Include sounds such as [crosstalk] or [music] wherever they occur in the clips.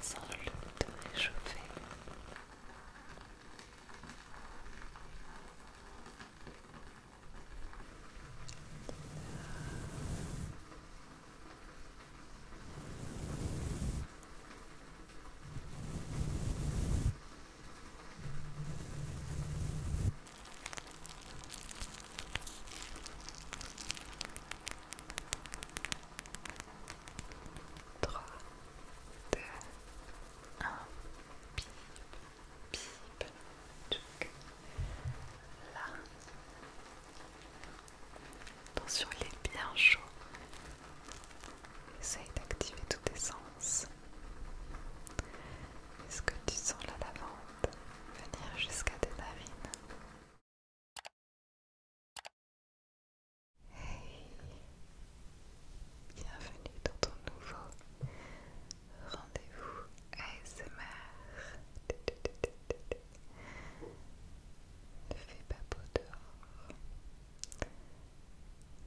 sans le te réchauffer. 3, 2, 1, bip, bip, tchouk, là. Attention, il est bien chaud. Essaye d'activer tous tes sens. Est-ce que tu sens la lavande venir jusqu'à tes narines Hey, bienvenue dans ton nouveau rendez-vous ASMR. Ne fais pas beau dehors.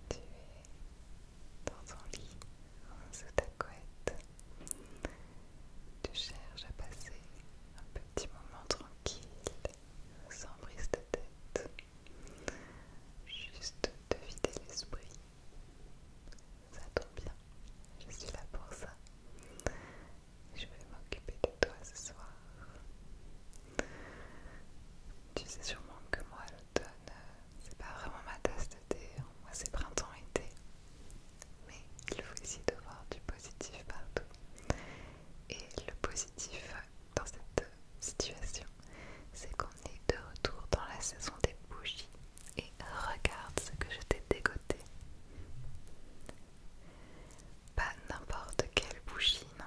Tu es dans ton lit, sous ta couette. Tu cherches à passer un petit moment tranquille sans brise de tête, juste de vider l'esprit. Ça tombe bien, je suis là pour ça. Je vais m'occuper de toi ce soir. Tu sais sûrement que moi, l'automne, c'est pas vraiment ma tasse de thé. Hein. Moi, c'est printemps-été. Mais il faut essayer de voir du positif partout. Et le positif dans cette situation, c'est qu'on est de retour dans la saison des bougies. Et regarde ce que je t'ai dégoté. Pas n'importe quelle bougie, non.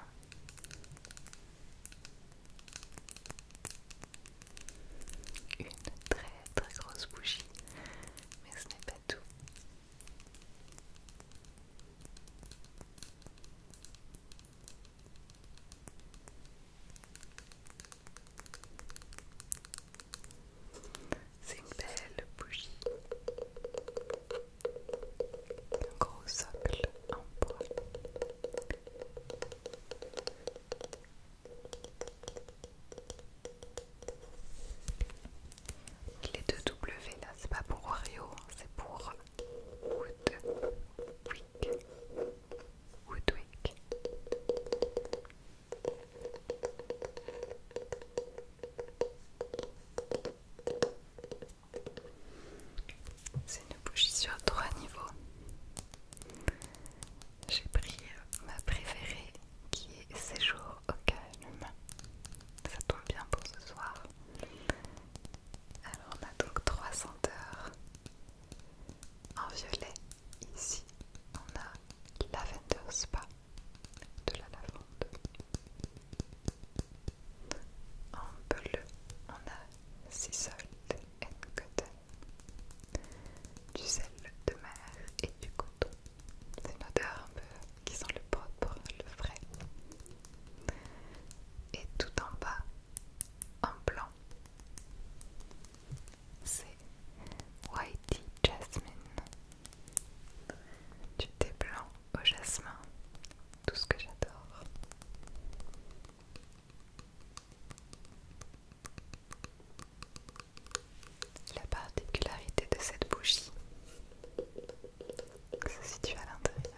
Une très très grosse bougie, mais ce n'est pas tout. C'est une belle bougie, un gros socle en bois. Les deux W là, c'est pas pour Oreo, hein. c'est pour Woodwick. Woodwick. C'est une bougie sur trois niveaux. J'ai pris ma préférée qui est Séjour aucun Ça tombe bien pour ce soir. Alors on a donc trois senteurs en violet. Ici, on a Lavender Spa de la lavande. En bleu, on a Sea de n Cotton, du sel de mer et du coton. C'est une odeur un peu qui sont le propre, le vrai. Et tout en bas, en blanc, c'est Whitey Jasmine. Du thé blanc au jasmin, tout ce que j'adore. La particularité de cette bougie, se situe à l'intérieur.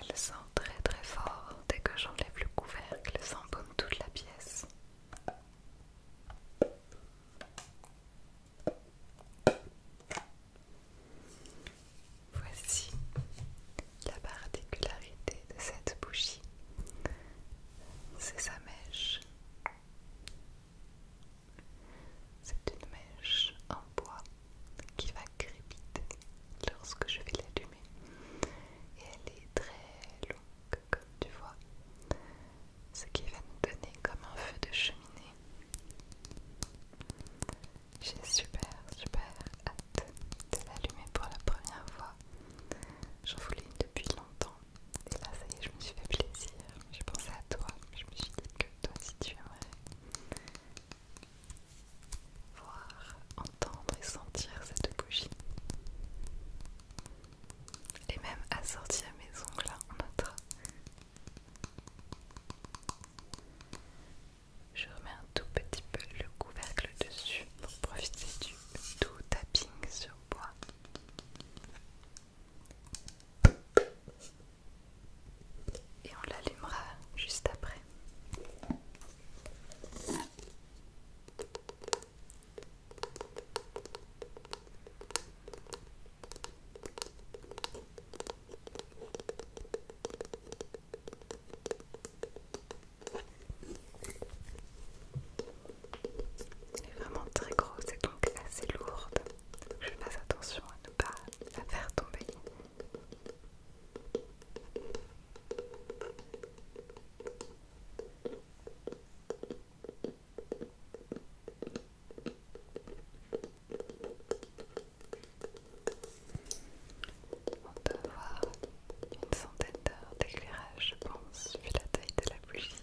Elle sent très très fort dès que j'enlève le couvercle, ça embaume toute la pièce. Voici la particularité de cette bougie, c'est sa mèche. C'est une mèche en bois qui va crépiter lorsque je vais l'allumer. Et elle est très longue, comme tu vois ce qui va nous donner comme un feu de cheminée. J'ai super super hâte de l'allumer pour la première fois. J'en voulais une depuis longtemps et là ça y est je me suis fait plaisir. J'ai pensé à toi, je me suis dit que toi si tu aimerais voir, entendre et sentir cette bougie. Et même assortir mes ongles en notre je remets un tout petit peu le couvercle dessus pour profiter du tout tapping sur bois. Et on l'allumera juste après. Elle est vraiment très grosse et donc assez lourde. je fais attention à ne pas la faire tomber. On peut avoir une centaine d'heures d'éclairage, je pense, vu la taille de la bougie.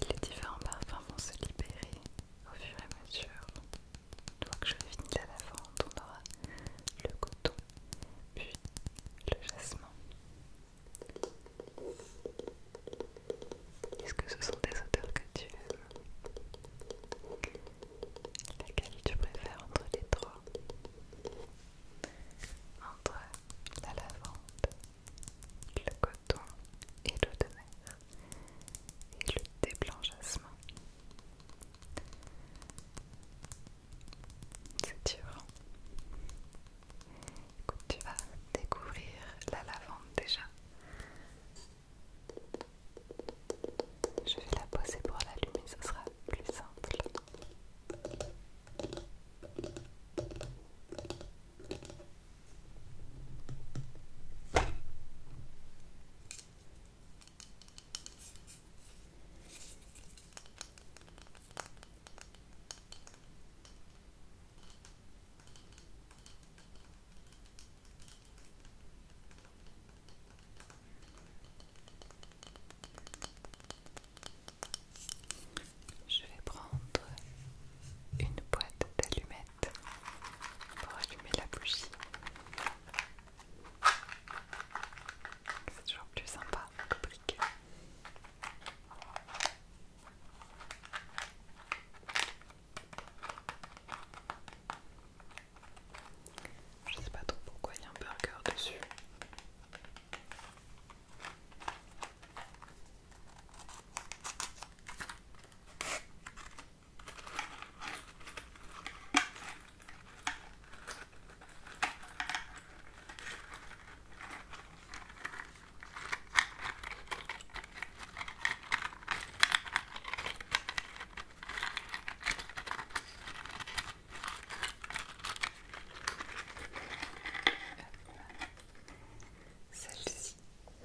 Et les différents parfums vont se libérer au fur et à mesure. Une fois que je finis la lavande, on aura le coton, puis le jasmin. Est-ce que ce sont des odeurs que tu aimes Laquelle tu préfères entre les trois Entre la lavande, le coton et l'eau de mer et le déblanchissement c'est dur. tu vas découvrir la lavande déjà. Je vais la poser pour l'allumer, ce sera plus simple. Je vais prendre une boîte d'allumettes pour allumer la bougie. C'est toujours plus sympa que je sais pas trop pourquoi il y a un burger dessus. Celle-ci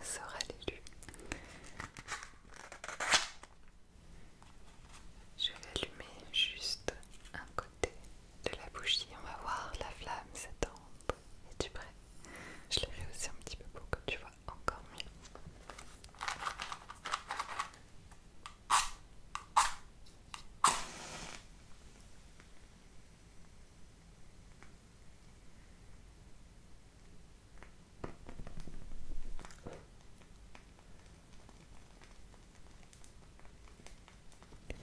sera l'élu. Je vais allumer juste un côté de la bougie. On va voir la flamme s'étendre. Es-tu prêt Je l'ai aussi un petit peu pour que tu vois encore mieux.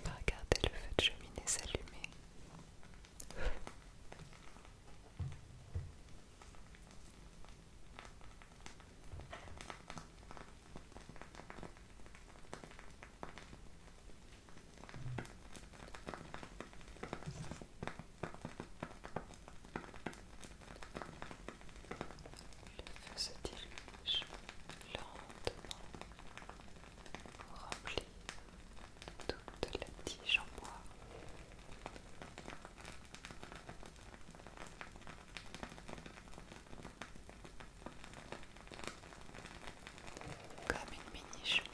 Regardez le feu de cheminée s'allumer. Le feu se dirige lentement pour remplir toute la tige en bois. Comme une mini cheminée.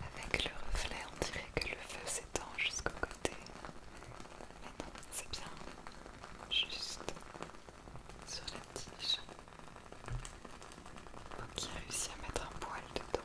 Avec le reflet, on dirait que le feu s'étend jusqu'au côté. Mais non, c'est bien juste sur la tige. OK, qu'il à mettre un poil dedans.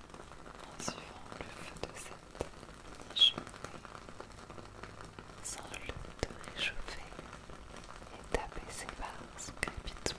en suivant le feu de cette niche, sans le de réchauffer et taper par son crépitement.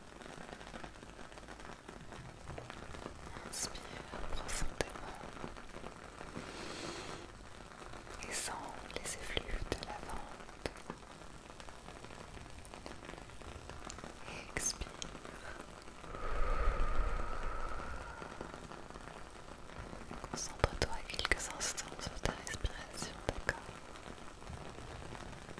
Inspire profondément et sens les effluves de la vente. Expire. Concentre-toi quelques instants sur ta respiration, d'accord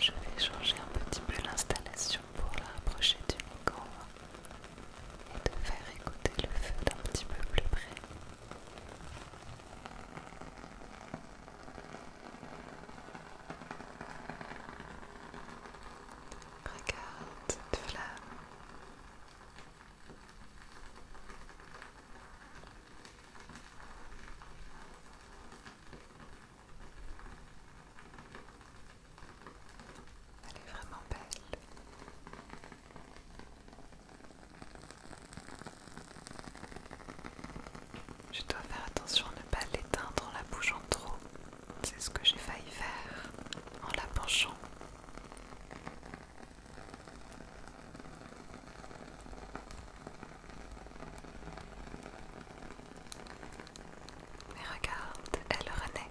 Je vais changer un petit peu l'installation pour la rapprocher du micro et te faire écouter le feu d'un petit peu plus près. Regarde cette flamme. Elle est vraiment belle. Je dois faire attention à ne pas l'éteindre en la bougeant trop. C'est ce que j'ai failli faire en la penchant. Mais regarde, elle renaît.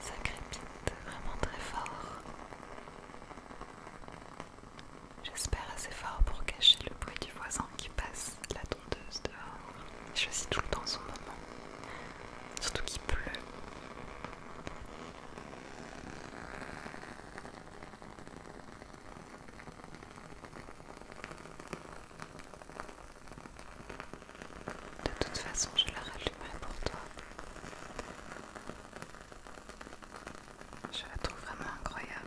Ça crépite vraiment très fort. J'espère assez fort pour cacher le bruit du voisin qui passe la tondeuse dehors. Je suis tout le temps son moment. Surtout qu'il pleut. De toute façon, je la rallumerai pour toi. Je la trouve vraiment incroyable.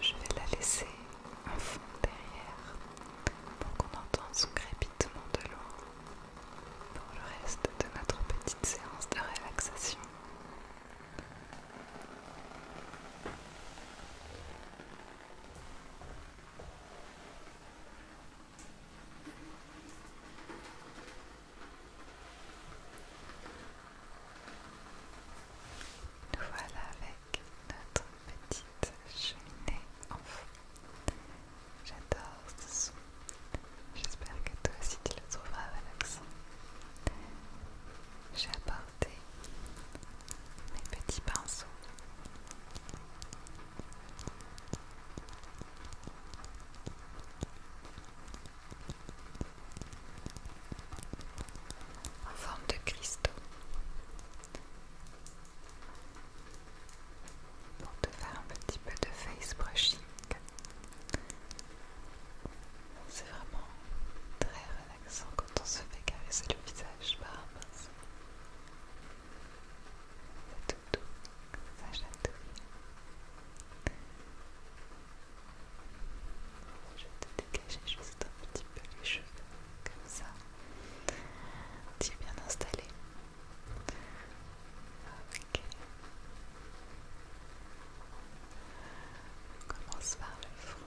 Je vais la laisser en fond derrière pour qu'on entende son crépitement de l'eau pour le reste de notre petite séance de relaxation. Nous voilà avec notre petite cheminée en fond. J'adore ce son. J'espère que toi aussi tu le trouveras ça. J'ai apporté mes petits pinceaux en forme de cristaux pour te faire un petit peu de face brushing. C'est vraiment très relaxant quand on se fait caresser le visage par un tout doux, ça tout. Je vais te dégager juste un petit peu les cheveux, comme ça. Tu es bien installé. Ok. On commence par le front.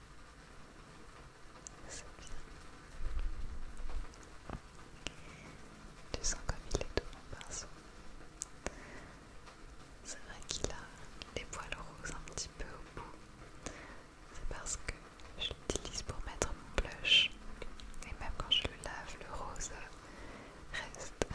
C'est Tu sens comme il est doux mon pinceau. C'est vrai qu'il a des poils roses un petit peu au bout. C'est parce que je l'utilise pour mettre mon blush. Et même quand je le lave, le rose reste. [laughs]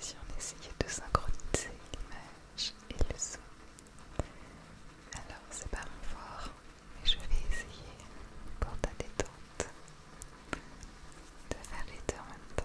Si on essayait de synchroniser l'image et le son, alors c'est pas mon fort, mais je vais essayer pour ta détente de faire les deux en même temps.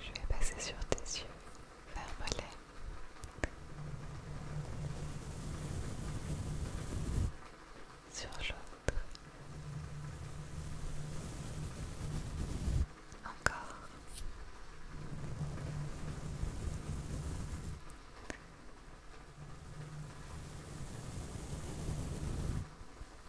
Je vais passer sur tes yeux, ferme-les. Sur l'autre. Encore.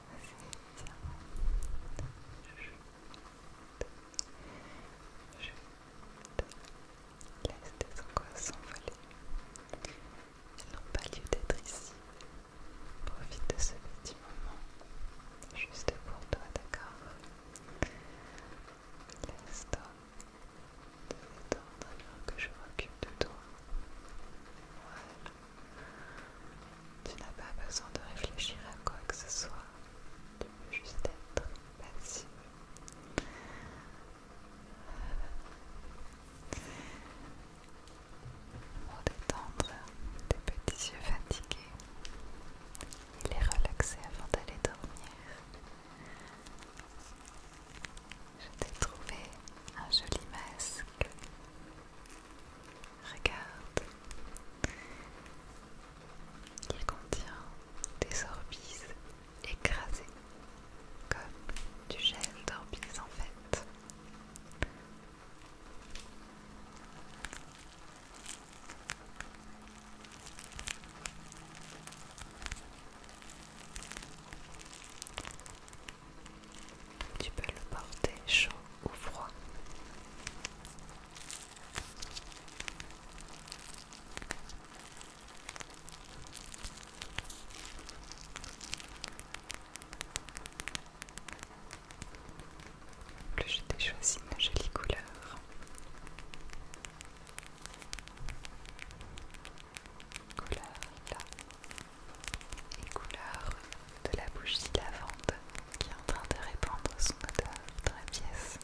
je Laisse tes angoisses s'envoler. Elles pas lieu d'être ici. Profite de ce petit moment. Juste pour toi, d'accord Laisse-toi te détendre alors que je m'occupe de toi. Voilà. Tu n'as pas besoin de réfléchir à quoi que ce soit. Tu peux juste être passive. Pour euh, détendre tes petits yeux fatigués et les relaxer avant d'aller dormir je t'ai trouvé un joli masque. Regarde, il contient des orbises écrasées, comme du gel d'orbise en fait. Tu peux le porter chaud ou froid. Plus je t'ai choisi ma jolie couleur. Couleur là les couleurs de la bougie lavande qui est en train de répandre son odeur dans la pièce.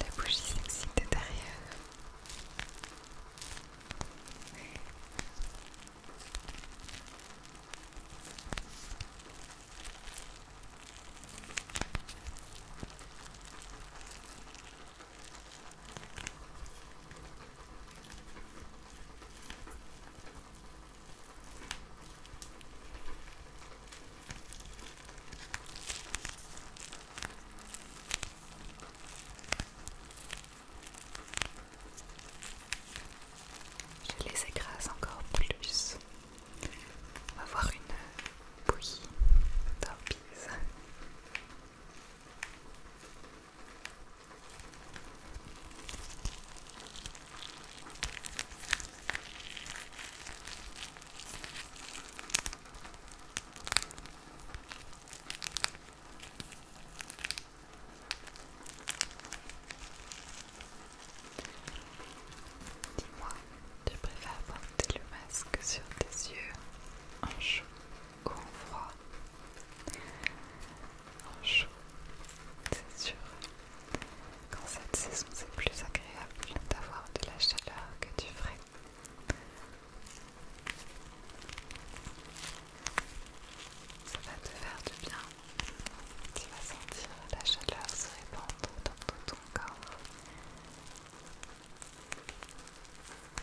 La bougie sexy de derrière. Je les écrase encore plus. On va avoir une bouillie Dis-moi, tu préfères porter le masque sur tes yeux en chaud ou en froid, en chaud, c'est sûr. Quand cette saison, c'est plus agréable d'avoir de la chaleur que du frais. Ça va te faire du bien. Tu vas sentir la chaleur se répandre dans tout ton corps.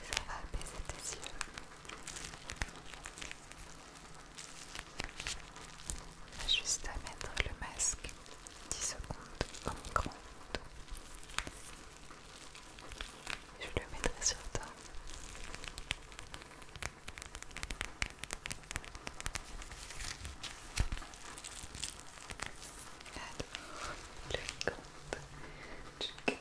Ça va apaiser tes yeux. a juste à mettre le masque 10 secondes en micro Je le mettrai sur toi. Alors, le compte.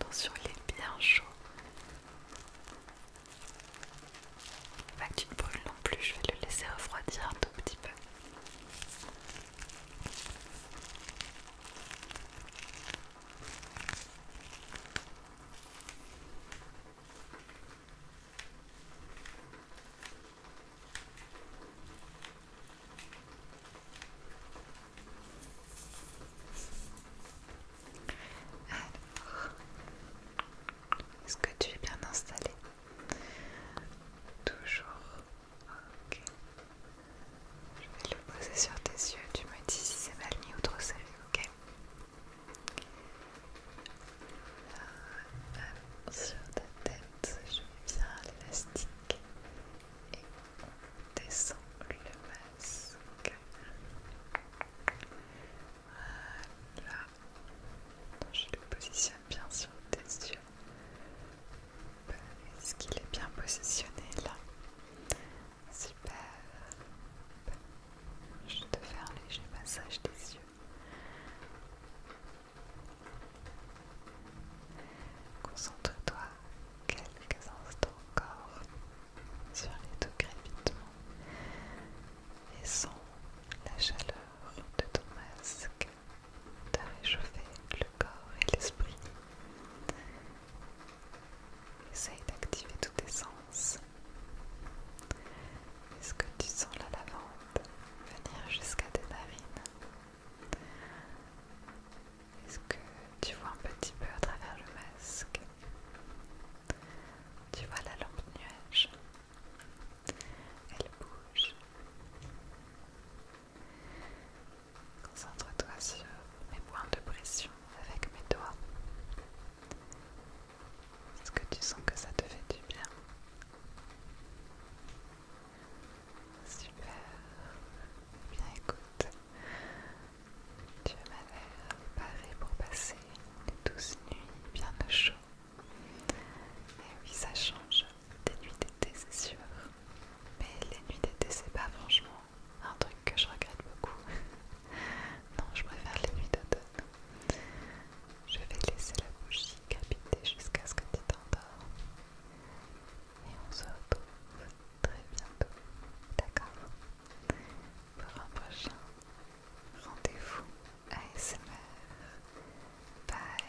Attention, il est bien chaud. il pas que tu non plus, je vais le laisser refroidir un tout petit peu. Alors, est-ce que tu es bien installé Toujours. Ok. Je vais le poser sur tes yeux. Tu me dis si c'est mal mis ou trop serré. Ok. Euh, sur ta tête, je mets bien l'élastique descend le masque. Voilà. Je le positionne bien sur tes yeux. Est-ce qu'il est bien positionné là Super. Je te fais un léger massage des yeux. Concentre-toi quelques instants encore sur les deux crépitements et sens la chaleur de ton masque te réchauffer le corps et l'esprit. Essaye d'activer tous tes sens. Est-ce que tu sens la lavande venir jusqu'à tes narines est-ce que tu vois un petit peu à travers le masque Tu vois la lampe nuage Elle bouge. Concentre-toi sur mes points de pression avec mes doigts. Est-ce que tu sens que ça te fait du bien Super. Bien écoute, tu m'as l'air paré pour passer une douce nuits bien au chaud. Et oui, ça change des nuits d'été, c'est sûr. Mais les nuits d'été, c'est pas franchement un truc que je regrette beaucoup. [laughs] non, je préfère les nuits d'automne. Je vais laisser la bougie capiter jusqu'à ce que tu t'endors et on se retrouve très bientôt, d'accord Pour un prochain rendez-vous ASMR. Bye